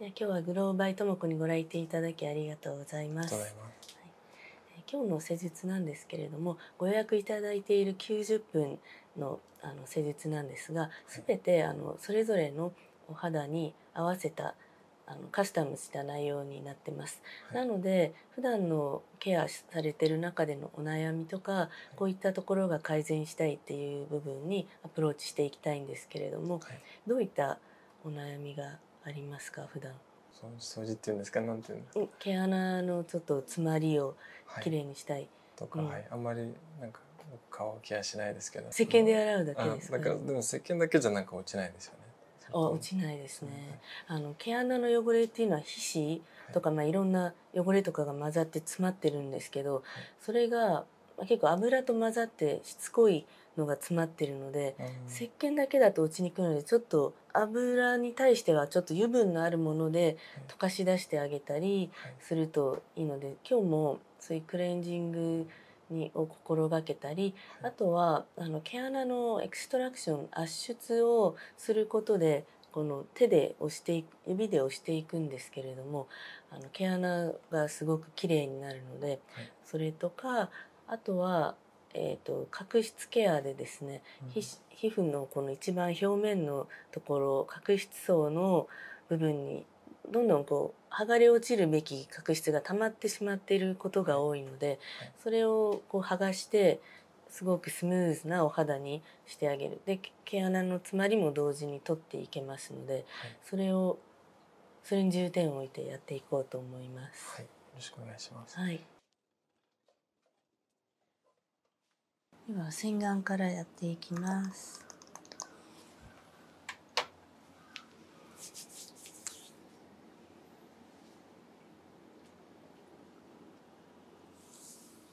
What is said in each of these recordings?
今日はグローバイともこにご来店いただきありがとうございます。はい、今日の施術なんですけれども、ご予約いただいている90分のあの施術なんですが、すべてあのそれぞれのお肌に合わせたあのカスタムした内容になってます。なので普段のケアされてる中でのお悩みとかこういったところが改善したいっていう部分にアプローチしていきたいんですけれども、どういったお悩みがありますか普段掃除っていうんですかなんていうの毛穴のちょっと詰まりをきれにしたい、とか、あんまりなんか顔ケアしないですけど石鹸で洗うだけですね、でも石鹸だけじゃなんか落ちないですよねあ落ちないですね、あの毛穴の汚れっていうのは皮脂とか、まあいろんな汚れとかが混ざって詰まってるんですけど、それが結構油と混ざってしつこいのが詰まってるので、うん、石鹸だけだと落ちにくいのでちょっと油に対してはちょっと油分のあるもので溶かし出してあげたりするといいので、今日もそういうクレンジングにを心がけたり、あとはあの毛穴のエクストラクション圧出をすることでこの手で押して指で押していくんですけれどもあの毛穴がすごく綺麗になるので、それとかあとは、えーと、角質ケアでですね、皮膚のこの一番表面のところ角質層の部分にどんどんこう剥がれ落ちるべき角質が溜まってしまっていることが多いので、それをこう剥がしてすごくスムーズなお肌にしてあげるで毛穴の詰まりも同時に取っていけますので、それをそれに重点を置いてやっていこうと思います。はい、よろしくお願いします。はい。今洗顔からやっていきます。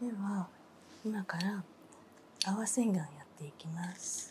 では今から合わせがんやっていきます。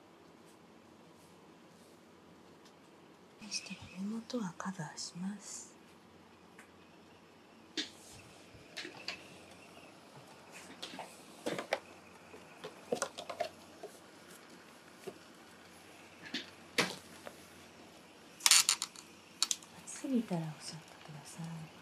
そしたら根元はカバーします暑すぎたらおっしゃってください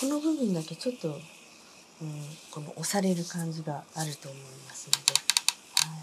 この部分だけちょっと、うん、この押される感じがあると思いますので、はい、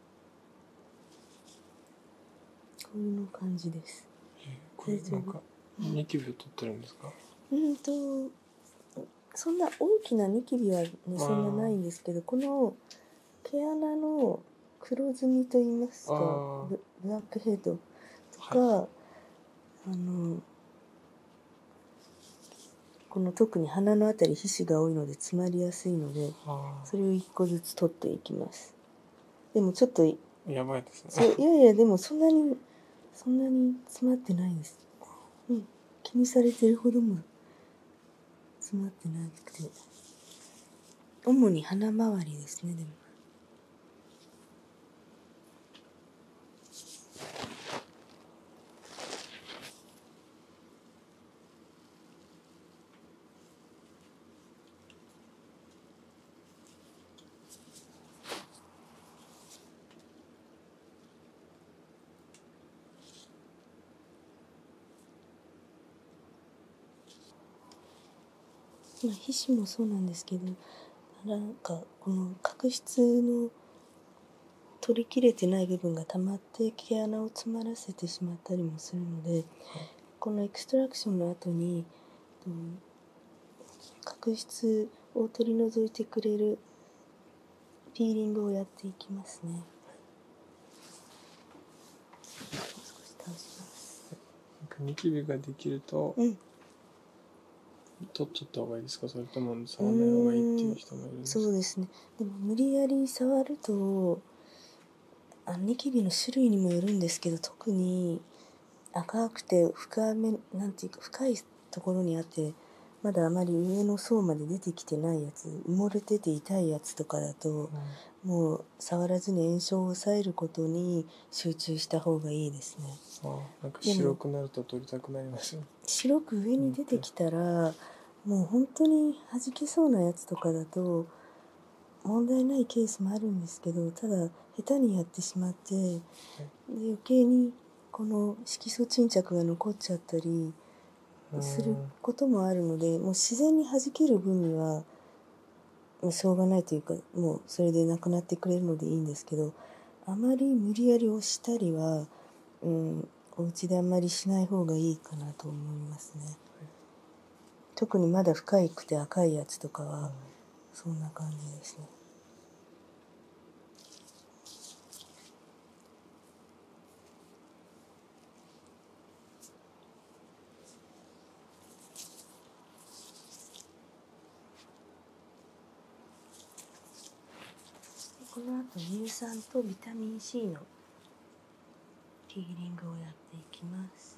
こんな感じです。これなんかニキビを取ってるんですか？うんとそんな大きなニキビはねそんなないんですけど、この毛穴の黒ずみと言いますかブラックヘッドとか、あのこの特に鼻のあたり皮脂が多いので詰まりやすいのでそれを1個ずつ取っていきますでもちょっとやばいですねいやいやでもそんなにそんなに詰まってないです、う気にされてるほども詰まってなくて主に鼻周りですねでも皮脂もそうなんですけどなんかこの角質の取りきれてない部分がたまって、っ毛穴を詰まらせてしまったりもするので、このエクストラクションの後に、うん、を取り除いてくれるピーリングをやっていきますね。ニキビができると、取っちった方がいいですかそれとも触らない方がいいっていう人もいるんそうですねでも無理やり触るとあニキビの種類にもよるんですけど特に赤くて深めなんていうか深いところにあってまだあまり上の層まで出てきてないやつ埋もれてて痛いやつとかだと、もう触らずに炎症を抑えることに集中した方がいいですね。か白くなると取りたくなります、ね、白く上に出てきたら、もう本当に弾けそうなやつとかだと問題ないケースもあるんですけどただ下手にやってしまってで余計にこの色素沈着が残っちゃったりすることもあるのでもう自然に弾ける分にはしょうがないというかもうそれでなくなってくれるのでいいんですけどあまり無理やり押したりは、うん、お家であんまりしない方がいいかなと思いますね。特にまだ深いくて赤いやつとかは、そんな感じですね。この後乳酸とビタミン C のヒーリングをやっていきます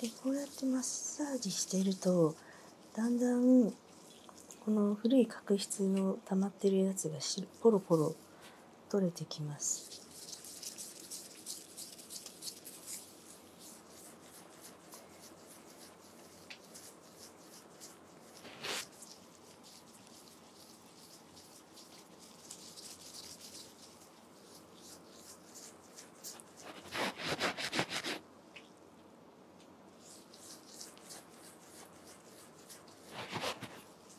でこうやってマッサージしてるとだんだんこの古い角質の溜まってるやつがポロポロ取れてきます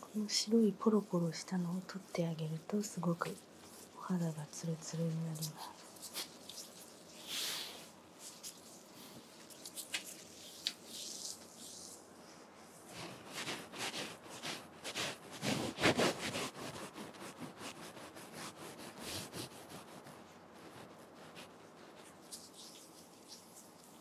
この白いポロポロしたのを取ってあげるとすごくお肌がツルツルになります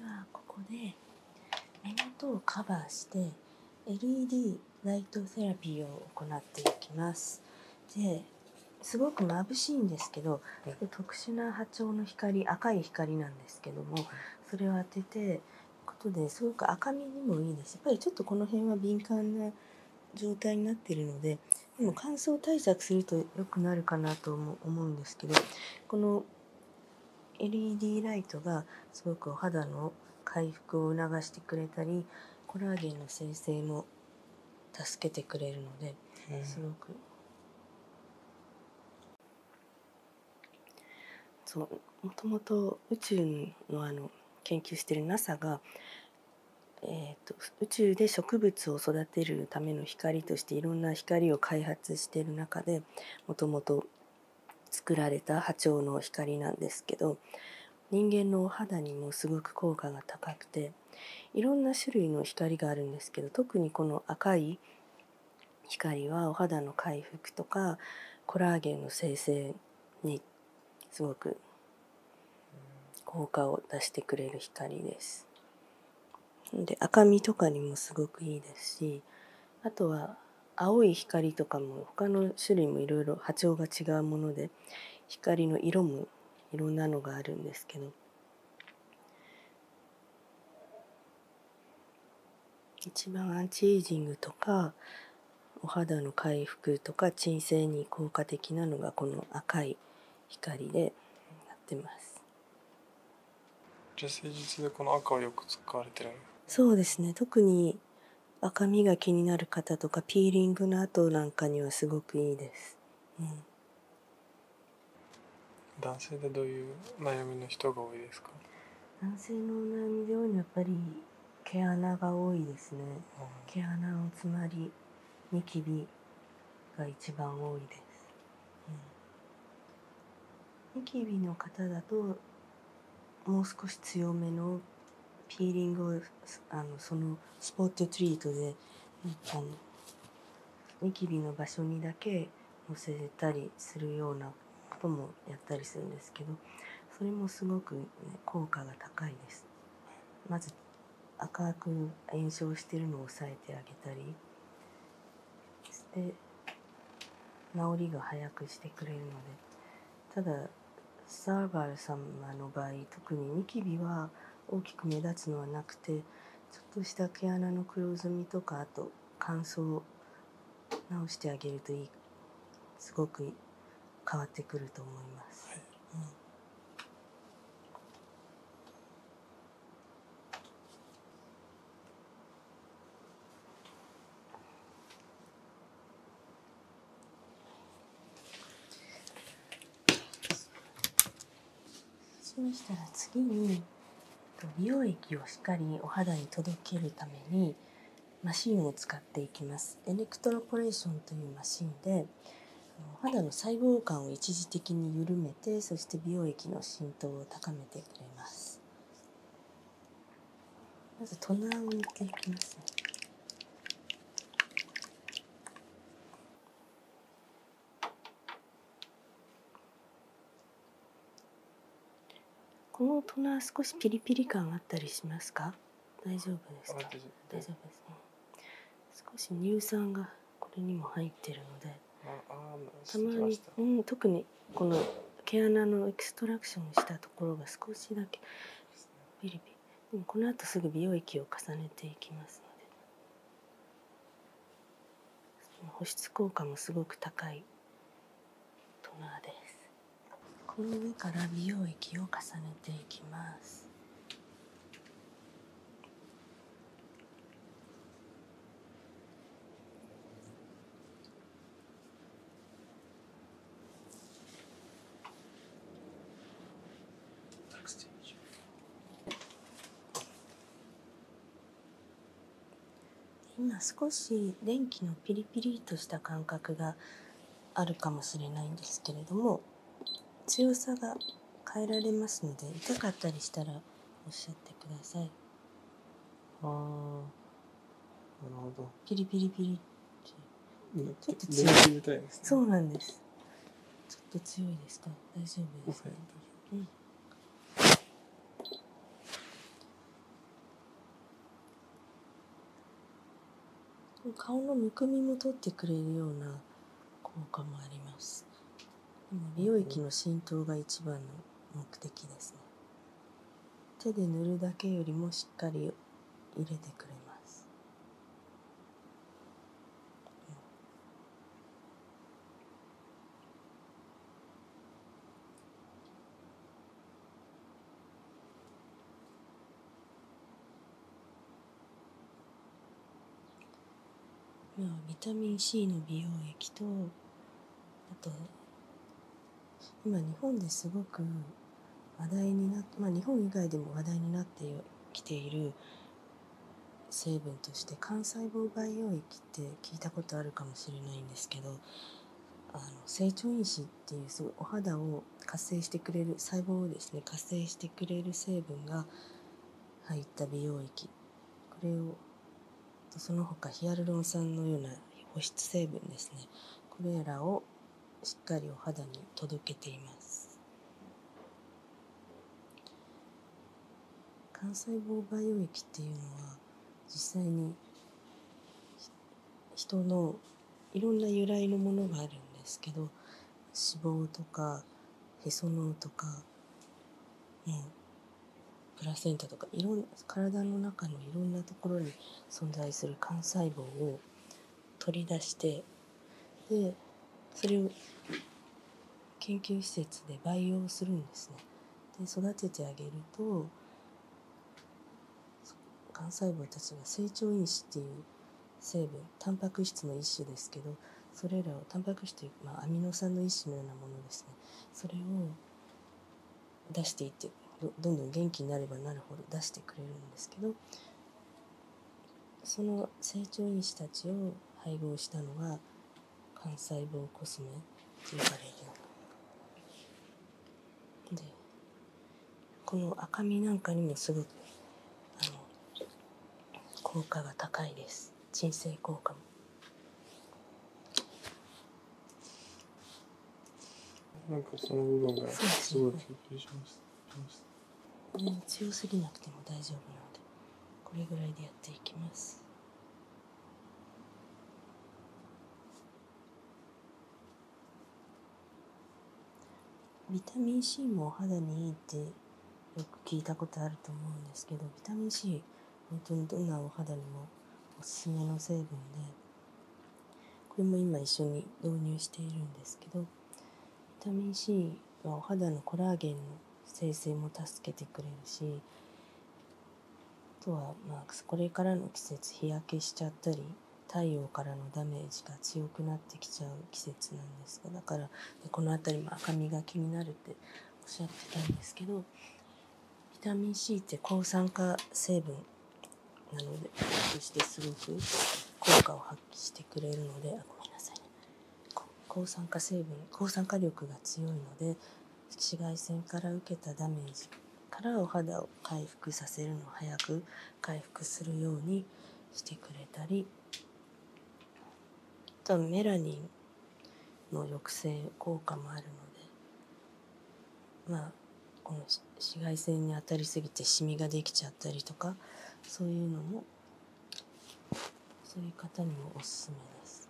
ではここで目元をカバーして LED ライトセラピーを行っていきますですごく眩しいんですけど、はい、特殊な波長の光赤い光なんですけどもそれを当ててことですごく赤みにもいいですやっぱりちょっとこの辺は敏感な状態になってるのででも乾燥対策すると良くなるかなと思うんですけどこの LED ライトがすごくお肌の回復を促してくれたりコラーゲンの生成も助けてくれるので、すごくそうもともと宇宙のあの研究してる NASA がえーと、宇宙で植物を育てるための光としていろんな光を開発してる中でもともと作られた波長の光なんですけど人間のお肌にもすごく効果が高くていろんな種類の光があるんですけど特にこの赤い光はお肌の回復とかコラーゲンの生成にすごく効果を出してくれる光です。で赤みとかにもすごくいいですしあとは青い光とかも他の種類もいろいろ波長が違うもので光の色もいろんなのがあるんですけど一番アンチエイジングとかお肌の回復とか鎮静に効果的なのがこの赤い光でやってますじゃ誠実でこの赤をよく使われてるそうですね特に赤みが気になる方とかピーリングの後なんかにはすごくいいです、男性でどういう悩みの人が多いですか男性の悩みで多いのはやっぱり毛穴が多いですね、毛穴の詰まりニキビが一番多いです、うん、ニキビの方だともう少し強めのピーリングをあのそのスポットトリートであのニキビの場所にだけのせたりするようなこともやったりするんですけどそれもすごく、ね、効果が高いですまず赤く炎症してるのを抑えてあげたりして治りが早くしてくれるのでただサーバル様の場合特にニキビは大きく目立つのはなくてちょっとした毛穴の黒ずみとかあと乾燥を直してあげるといいすごく変わってくると思います。うんそうしたら次に美容液をしっかりお肌に届けるためにマシンを使っていきますエレクトロポレーションというマシンで肌の細胞感を一時的に緩めてそして美容液の浸透を高めてくれますまずトナーを塗っていきますこのトナー少しピリピリ感あったりしますか大丈夫ですか大丈夫ですね少し乳酸がこれにも入ってるのでたまに、うん、特にこの毛穴のエクストラクションしたところが少しだけピリピリこのあとすぐ美容液を重ねていきますので保湿効果もすごく高いトナーですこの上から美容液を重ねていきます。今少し電気のピリピリとした感覚があるかもしれないんですけれども強さが変えられますので痛かったりしたらおっしゃってくださいああなるほどピリピリピリちょっと強い、ね、そうなんですちょっと強いですか大丈夫ですか、うん、顔のむくみも取ってくれるような効果もありますでも美容液の浸透が一番の目的ですね手で塗るだけよりもしっかり入れてくれます、うん。まビタミン C の美容液とあと今日本ですごく話題になって、ま日本以外でも話題になってきている成分として幹細胞培養液って聞いたことあるかもしれないんですけどあの成長因子っていうすごいお肌を活性してくれる細胞をですね活性してくれる成分が入った美容液これをその他ヒアルロン酸のような保湿成分ですねこれらをしっかりお肌に届けています幹細胞培養液っていうのは実際に人のいろんな由来のものがあるんですけど脂肪とかへその緒とか、ね、プラセンタとかいろん体の中のいろんなところに存在する幹細胞を取り出してでそれを研究施設で培養するんですね。で育ててあげると幹細胞たちが成長因子っていう成分タンパク質の一種ですけどそれらをタンパク質という、まあ、アミノ酸の一種のようなものですねそれを出していってどんどん元気になればなるほど出してくれるんですけどその成長因子たちを配合したのが幹細胞コスメと呼ばれるようなでこの赤みなんかにもすごくあの効果が高いです鎮静効果もなかその部分がすごい緊しましね、強すぎなくても大丈夫なのでこれぐらいでやっていきますビタミン C もお肌にいいってよく聞いたことあると思うんですけどビタミン C 本当にどんなお肌にもおすすめの成分でこれも今一緒に導入しているんですけどビタミン C はお肌のコラーゲンの生成も助けてくれるしあとはまあこれからの季節日焼けしちゃったり太陽からのダメージが強くなってきちゃう季節なんですがだからこの辺りも赤みが気になるっておっしゃってたんですけどビタミン C って抗酸化成分なのでそしてすごく効果を発揮してくれるのであごめんなさいね抗酸化成分抗酸化力が強いので紫外線から受けたダメージからお肌を回復させるの早く回復するようにしてくれたり多分メラニンの抑制効果もあるのでまあこの紫外線に当たりすぎてシミができちゃったりとかそういうのもそういう方にもおすすめです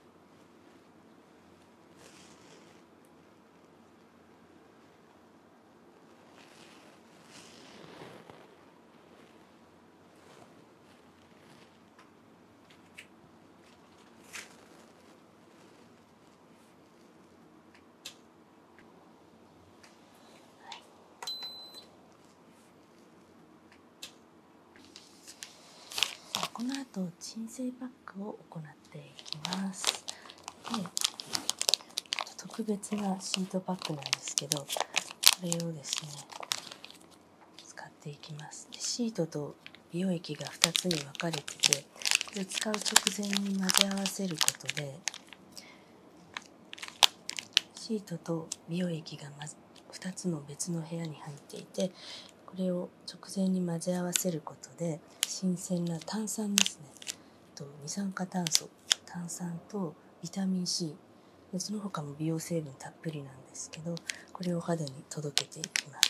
はい、この後鎮静パックを行っていきます。で特別なシートパックなんですけどこれをですね使っていきますでシートと美容液が2つに分かれててこれ使う直前に混ぜ合わせることでシートと美容液が、ま、2つの別の部屋に入っていてこれを直前に混ぜ合わせることで新鮮な炭酸ですねと二酸化炭素炭酸とビタミン C でその他も美容成分たっぷりなんですけどこれを肌に届けていきます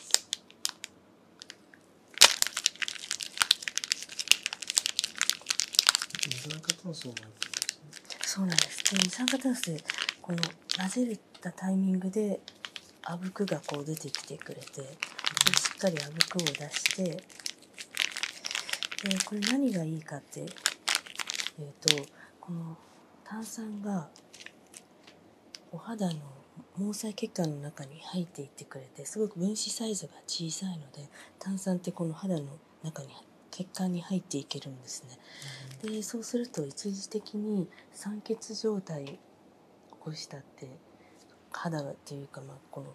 そうなんです二酸化炭素でこの混ぜたタイミングであぶくがこう出てきてくれてしっかりあぶくを出してでこれ何がいいかっていうとこの炭酸がお肌の毛細血管の中に入っていってくれてすごく分子サイズが小さいので炭酸ってこの肌の中に血管に入っていけるんですね。でそうすると一時的に酸欠状態起こしたって肌っていうかまあこの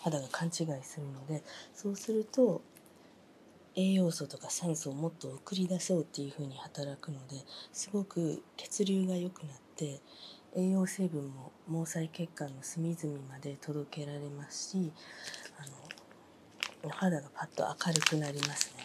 肌が勘違いするのでそうすると栄養素とか酸素をもっと送り出そうっていうふうに働くのですごく血流が良くなって栄養成分も毛細血管の隅々まで届けられますしあの肌がパッと明るくなりますね。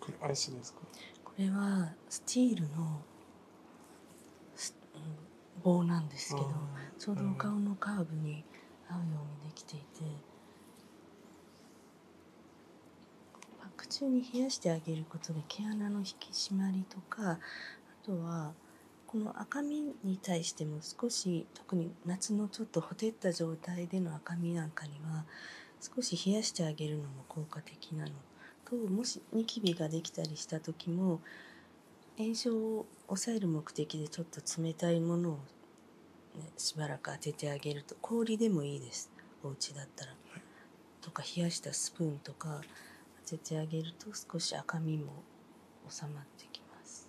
これアイスですかこれはスチールの棒なんですけどちょうどお顔のカーブに合うようにできていてパック中に冷やしてあげることで毛穴の引き締まりとかあとはこの赤みに対しても少し特に夏のちょっとほてった状態での赤みなんかには少し冷やしてあげるのも効果的なのともしニキビができたりした時も炎症を抑える目的でちょっと冷たいものを、ね、しばらく当ててあげると氷でもいいですお家だったらとか冷やしたスプーンとか当ててあげると少し赤みも収まってきます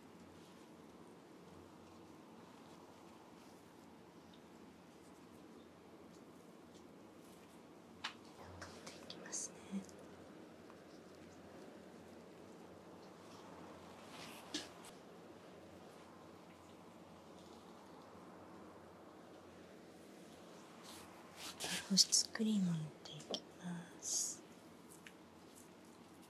ていきますね。保湿クリームを塗っていきます。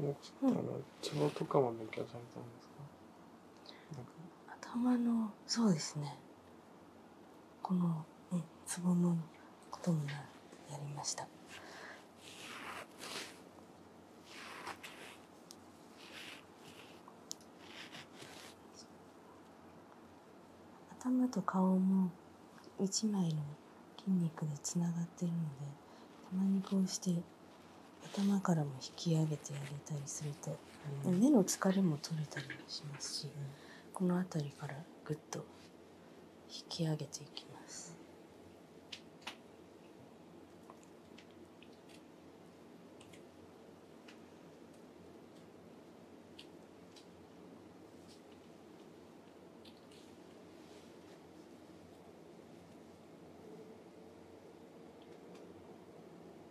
どうしたら血とかは抜けされたんですか頭のそうですねこのねつぼむこともやりました。頭と顔も一枚の筋肉でつながってるのでたまにこうして頭からも引き上げてあげたりすると、うん、目の疲れも取れたりしますし、この辺りからぐっと引き上げていきます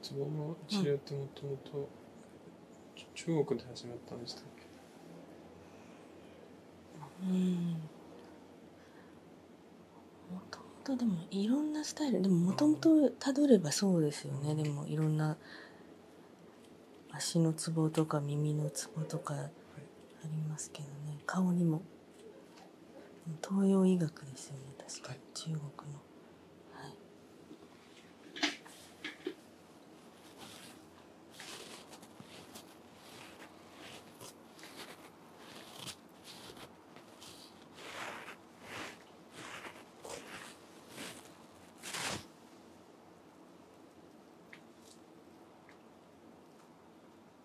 つぼの治療ってもともと中国で始まったんでしたっけうんもともとでもいろんなスタイルでももともとたどればそうですよね、でもいろんな足のツボとか耳のツボとかありますけどね顔にも東洋医学ですよね確か、は中国の、はい、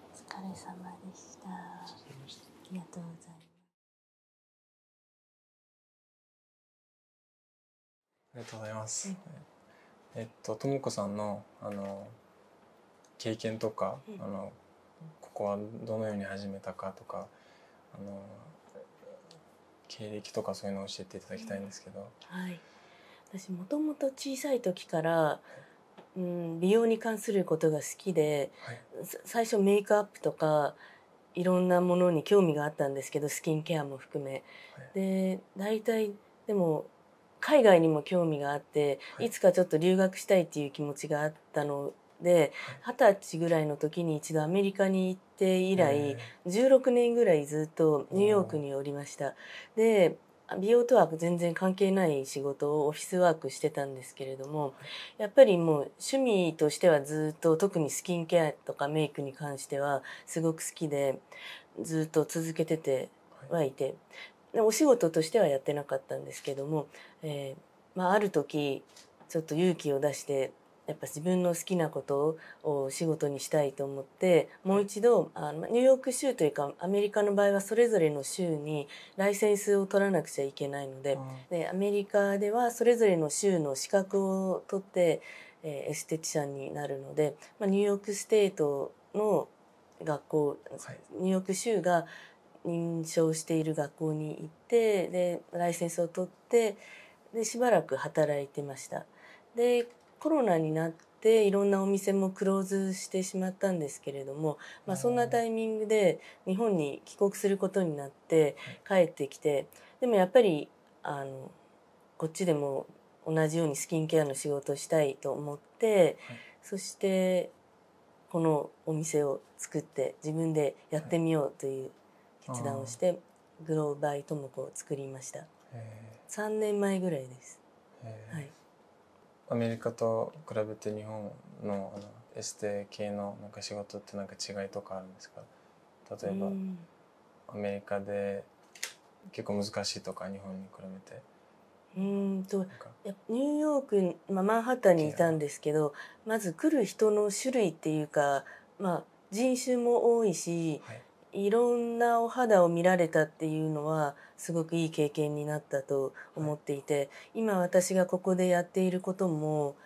お疲れ様でした。ありがとうございます。えっと、ともさんの、あの。経験とか、あの。ここはどのように始めたかとか。あの。経歴とか、そういうのを教えていただきたいんですけど。はい。私もともと小さい時から。うん、美容に関することが好きで、最初メイクアップとかいろんなものに興味があったんですけどスキンケアも含め、はい、で大体でも海外にも興味があって、い、つかちょっと留学したいっていう気持ちがあったので二十、歳ぐらいの時に一度アメリカに行って以来16年ぐらいずっとニューヨークにおりました。で美容とは全然関係ない仕事をオフィスワークしてたんですけれどもやっぱりもう趣味としてはずっと特にスキンケアとかメイクに関してはすごく好きでずっと続けててはいて、お仕事としてはやってなかったんですけども、まあ、ある時ちょっと勇気を出してやっぱ自分の好きなことを仕事にしたいと思ってもう一度あのニューヨーク州というかアメリカの場合はそれぞれの州にライセンスを取らなくちゃいけないのでアメリカではそれぞれの州の資格を取って、えー、エステティシャンになるので、まあ、ニューヨークステートの学校、ニューヨーク州が認証している学校に行ってでライセンスを取ってでしばらく働いてました。でコロナになていろんなお店もクローズしてしまったんですけれども、まあ、そんなタイミングで日本に帰国することになって帰ってきてでもやっぱりあのこっちでも同じようにスキンケアの仕事したいと思って、そしてこのお店を作って自分でやってみようという決断をして、グローバイトモコを作りました3年前ぐらいです。はいアメリカと比べて日本のエステ系の仕事ってなんか違いとかあるんですか例えば、アメリカで結構難しいとか日本に比べて。ニューヨーク、マンハッタンにいたんですけどまず来る人の種類っていうか、まあ、人種も多いし、いろんなお肌を見られたっていうのはすごくいい経験になったと思っていて、今私がここでやっていることも、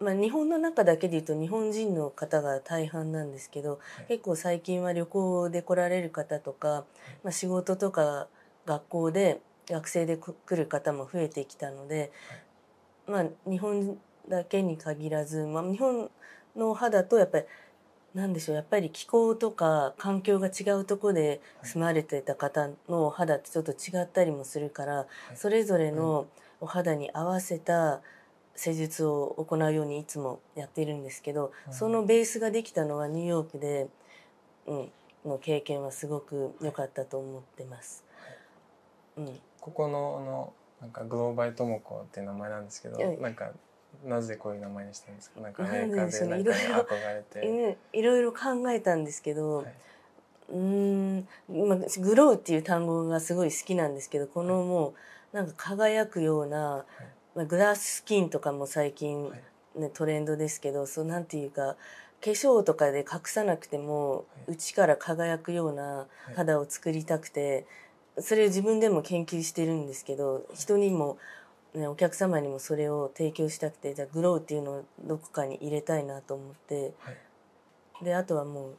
まあ、日本の中だけで言うと日本人の方が大半なんですけど、結構最近は旅行で来られる方とか、まあ、仕事とか学校で学生で来る方も増えてきたので、まあ、日本だけに限らず、まあ、日本の肌とやっぱり何でしょうやっぱり気候とか環境が違うとこで住まれてた方のお肌ってちょっと違ったりもするから、それぞれのお肌に合わせた施術を行うようにいつもやっているんですけど、そのベースができたのはニューヨークで、うん、の経験はすごく良かったと思ってます。うん、ここののなんかグローバイトモコっていう名前なんですけど、なんかなぜこういう名前にしたんですか。なんかメーカーでなん憧れて、いろいろ考えたんですけど、うん今グローっていう単語がすごい好きなんですけどこのもうなんか輝くような、はい、グラススキンとかも最近、ね、トレンドですけどそうなんていうか化粧とかで隠さなくても、はい、内から輝くような肌を作りたくて、それを自分でも研究してるんですけど人にもね、お客様にもそれを提供したくてじゃあグローっていうのをどこかに入れたいなと思って、であとはもう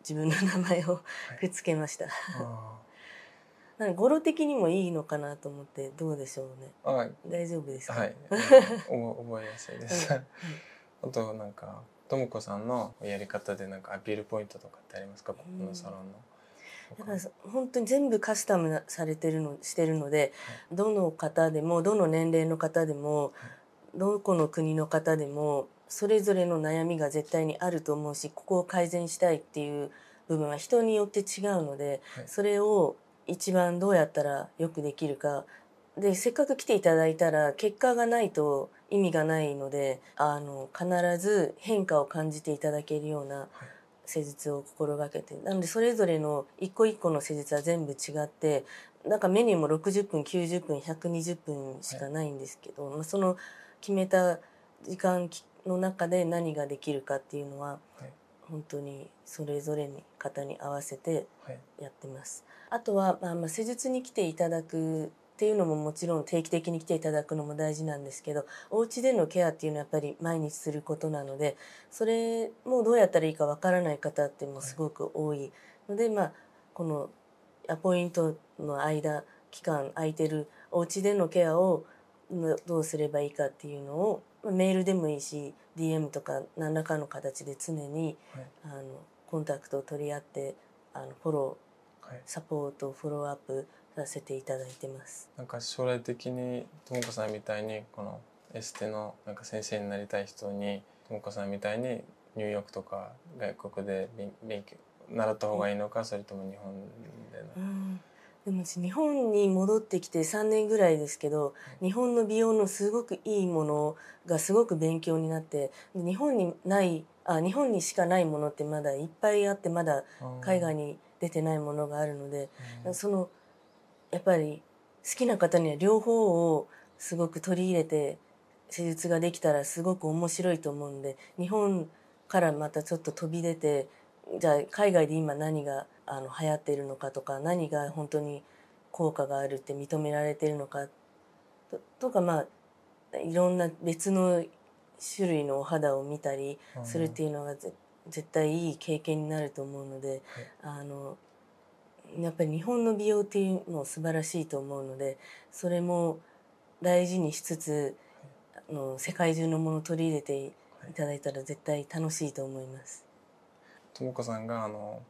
自分の名前をくっつけました なので語呂的にもいいのかなと思ってどうでしょうね。はい、大丈夫ですか。覚えやすいです。はい、なんかともさんのやり方でなんかアピールポイントとかってありますかこのサロンの。本当に全部カスタムされてるのしてるので、どの方でもどの年齢の方でも、どこの国の方でもそれぞれの悩みが絶対にあると思うしここを改善したいっていう部分は人によって違うので、それを一番どうやったらよくできるかでせっかく来ていただいたら結果がないと意味がないのであの必ず変化を感じていただけるような施術を心がけてなのでそれぞれの一個一個の施術は全部違ってなんかメニューも60分90分120分しかないんですけど、はい、その決めた時間の中で何ができるかっていうのは、本当にそれぞれの方に合わせてやってます。あとは、まあ、まあ施術に来ていただくっていうのももちろん定期的に来ていただくのも大事なんですけどお家でのケアっていうのはやっぱり毎日することなのでそれもどうやったらいいかわからない方ってもすごく多いので、まあ、このアポイントの間期間空いてるお家でのケアをどうすればいいかっていうのを、メールでもいいし DM とか何らかの形で常に、あのコンタクトを取り合ってあのフォロー、サポートフォローアップさせていただいてます。なんか将来的にともこさんみたいにこのエステのなんか先生になりたい人にともこさんみたいにニューヨークとか外国で勉強習った方がいいのか、それとも日本ででも日本に戻ってきて3年ぐらいですけど日本の美容のすごくいいものがすごく勉強になって日本にないあ日本にしかないものってまだいっぱいあってまだ海外に出てないものがあるので、そのやっぱり好きな方には両方をすごく取り入れて施術ができたらすごく面白いと思うんで日本からまたちょっと飛び出てじゃあ海外で今何があの流行っているのかとか何が本当に効果があるって認められてるのかとかまあいろんな別の種類のお肌を見たりするっていうのが絶絶対いい経験になると思うので、あのやっぱり日本の美容っていうの素晴らしいと思うのでそれも大事にしつつ、あの世界中のもの取り入れていただいたら絶対楽しいと思います。ともかさんがあの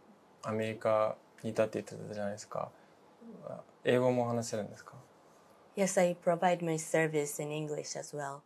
アメリカにいたって言ってたじゃないですか。英語も話してるんですか Yes, I provide my service in English as well.